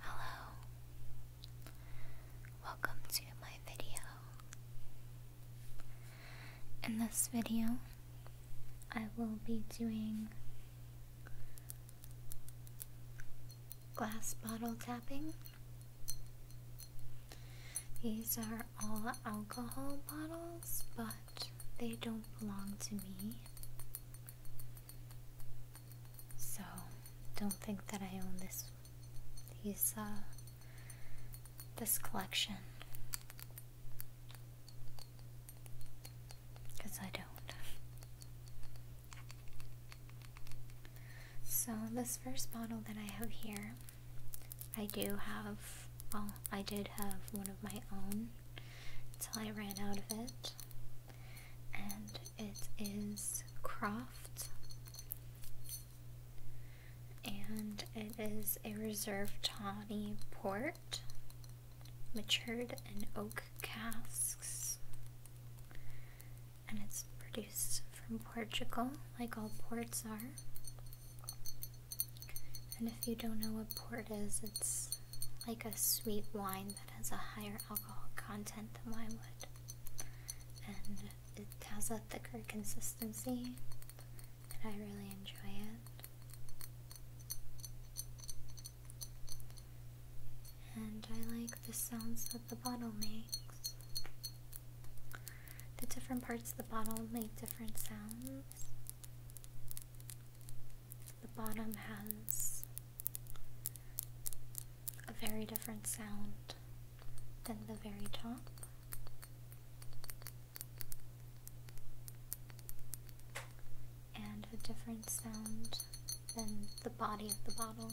Hello, welcome to my video. In this video, I will be doing glass bottle tapping. These are all alcohol bottles, but they don't belong to me. So don't think that I own this these uh this collection. Cause I don't. So this first bottle that I have here, I do have well, I did have one of my own until I ran out of it. And it is Croft. And it is a reserve tawny port, matured in oak casks. And it's produced from Portugal, like all ports are. And if you don't know what port is, it's like a sweet wine that has a higher alcohol content than wine would. And it has a thicker consistency, and I really enjoy it. And I like the sounds that the bottle makes. The different parts of the bottle make different sounds. The bottom has a very different sound than the very top. And a different sound than the body of the bottle.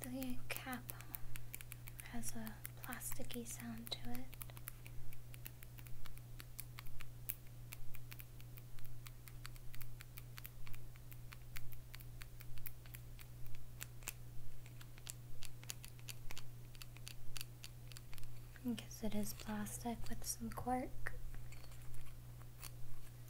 The cap has a plasticky sound to it. Because it is plastic with some cork.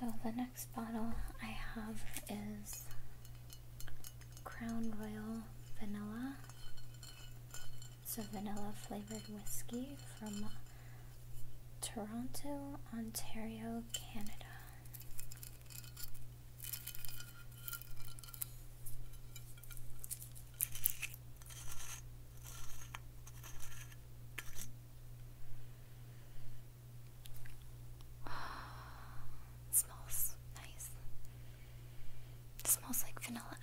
So the next bottle I have is Crown Royal Vanilla. It's a vanilla flavored whiskey from Toronto, Ontario, Canada. smells nice. It smells like vanilla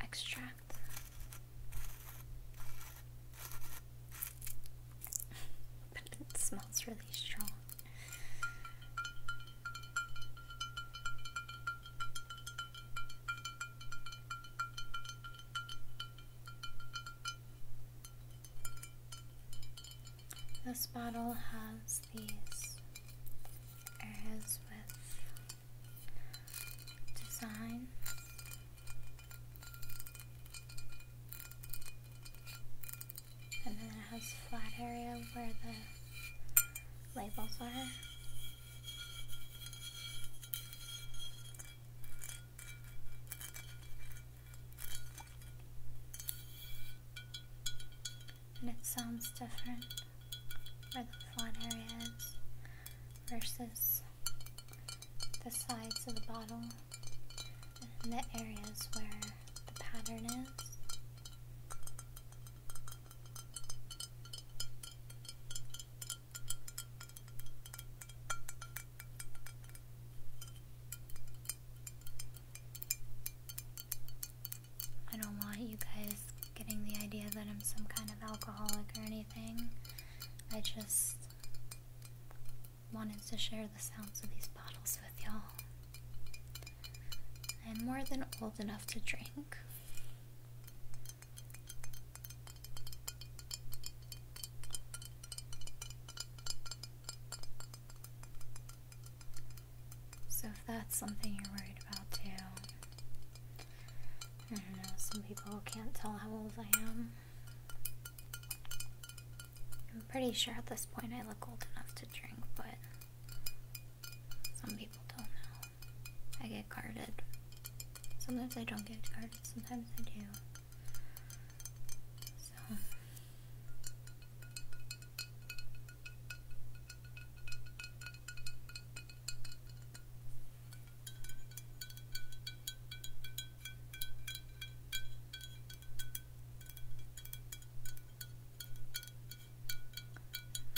extract. but it smells really strong. This bottle has these areas with design and then it has a flat area where the labels are. And it sounds different where the flat area is versus the sides of the bottle and the areas where the pattern is. I don't want you guys getting the idea that I'm some kind of alcoholic or anything. I just wanted to share the sounds of these bottles with y'all. I'm more than old enough to drink. So, if that's something you're worried about too, I don't know, some people can't tell how old I am. I'm pretty sure at this point I look old enough to drink, but some people don't know. I get carded. Sometimes I don't get carded, sometimes I do. So.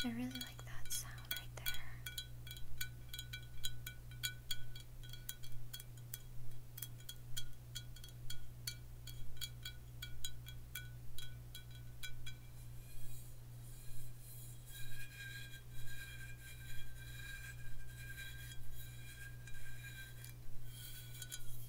I really like that sound right there.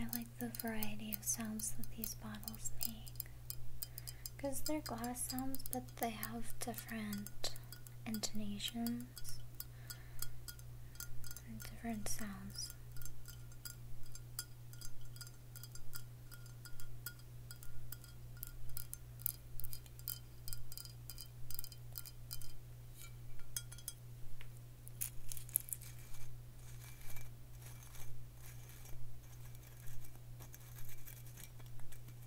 I like the variety of sounds that these bottles make because they're glass sounds, but they have different intonations and different sounds.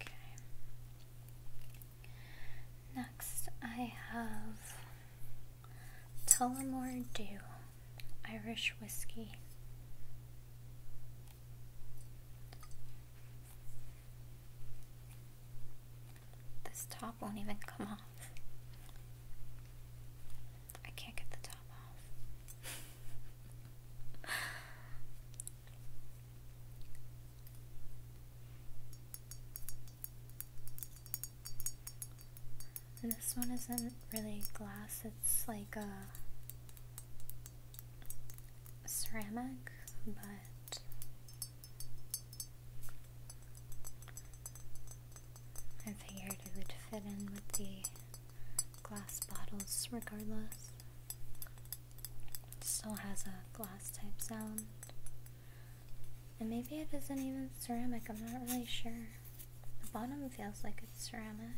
Okay. Next, I have Tullamore Dew Irish Whiskey. This top won't even come off. I can't get the top off. This one isn't really glass, it's like a ceramic, but I figured it would fit in with the glass bottles regardless. It still has a glass type sound. And maybe it isn't even ceramic, I'm not really sure. The bottom feels like it's ceramic.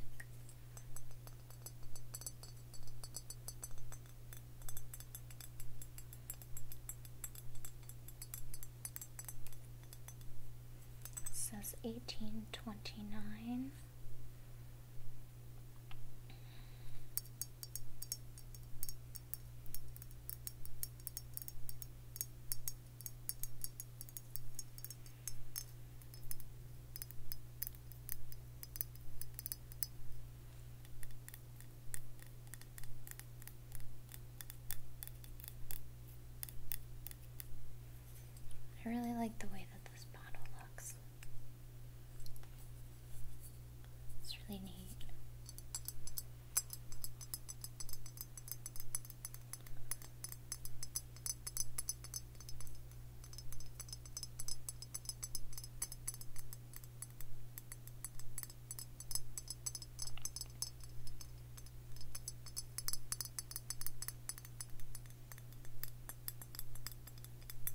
says 1829. I really like the way that this bottle looks. It's really neat.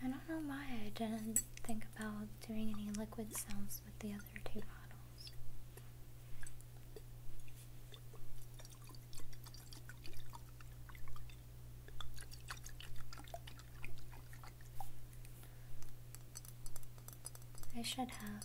I don't know why I didn't think about doing any liquid sounds with the other two bottles. I should have.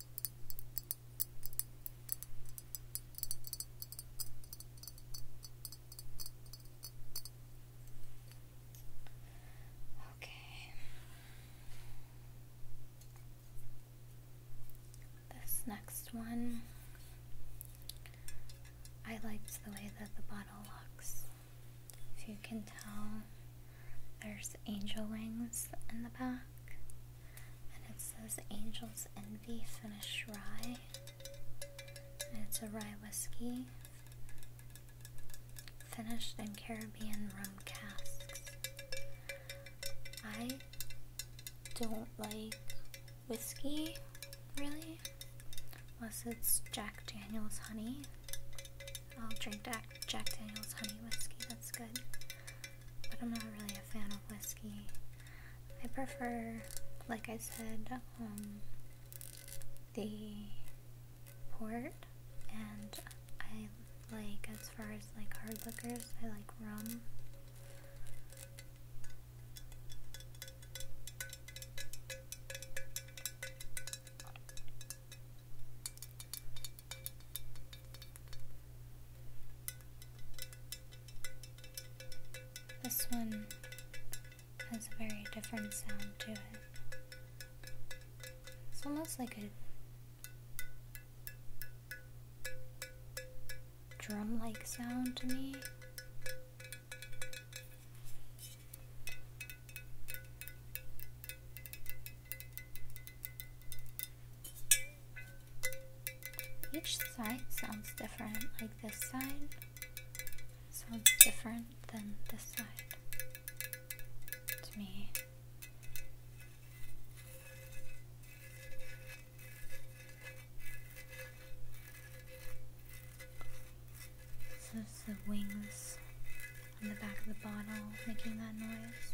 Okay. This next one, I liked the way that the bottle looks. If you can tell, there's angel wings in the back. And it says Angel's Envy Finish Rye. it's a rye whiskey. Finished in Caribbean rum casks. I don't like whiskey, really. Unless it's Jack Daniels honey. I'll drink Jack, Daniels honey whiskey, that's good. But I'm not really a fan of whiskey. I prefer, like I said, um, the port, and I like, as far as like hard liquors, I like rum. This one has a very different sound to it. It's almost like a drum like sound to me. Each side sounds different, like this side sounds different than this side to me. So it's the wings on the back of the bottle making that noise.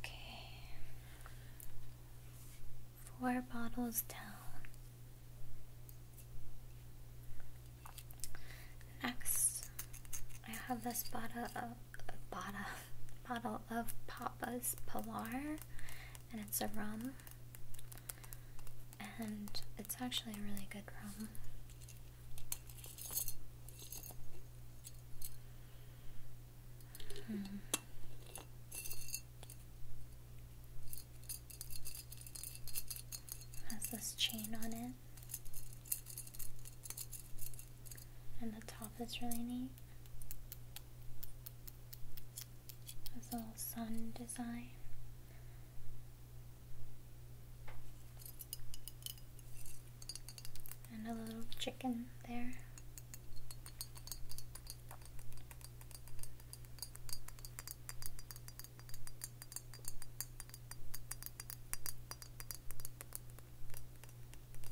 Okay. Four bottles down. Next, I have this bottle of bottle, bottle of Papa's Pilar, and it's a rum, and it's actually a really good rum. Hmm. Has this chain on it? And the top is really neat. Has a little sun design. And a little chicken there.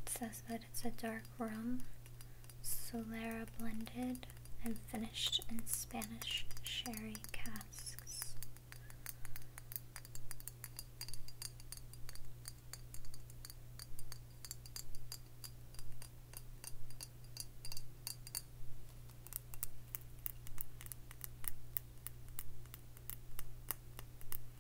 It says that it's a dark rum, Solera blended, and finished in Spanish sherry casks.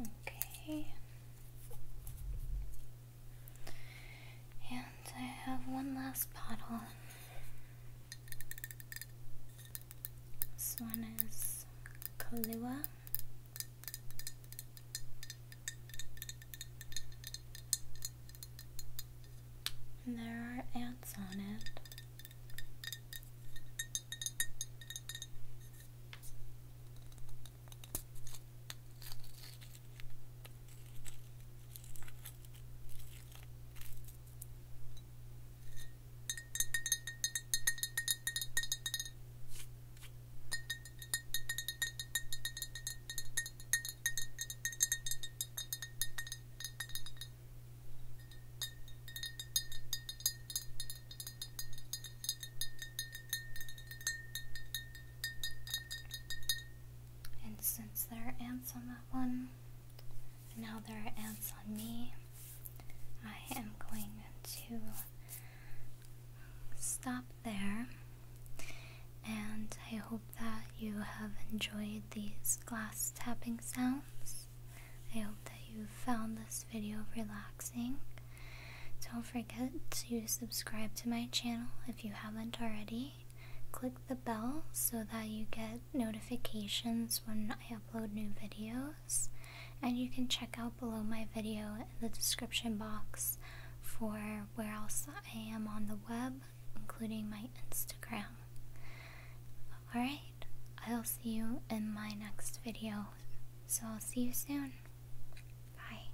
Okay. And I have one last bottle this one is Kahlua. And there are ants on it. And since there are ants on that one, now there are ants on me. I am going to stop there. And I hope that you have enjoyed these glass tapping sounds. I hope that you found this video relaxing. Don't forget to subscribe to my channel if you haven't already click the bell so that you get notifications when I upload new videos. And you can check out below my video in the description box for where else I am on the web, including my Instagram. Alright, I'll see you in my next video. So I'll see you soon. Bye.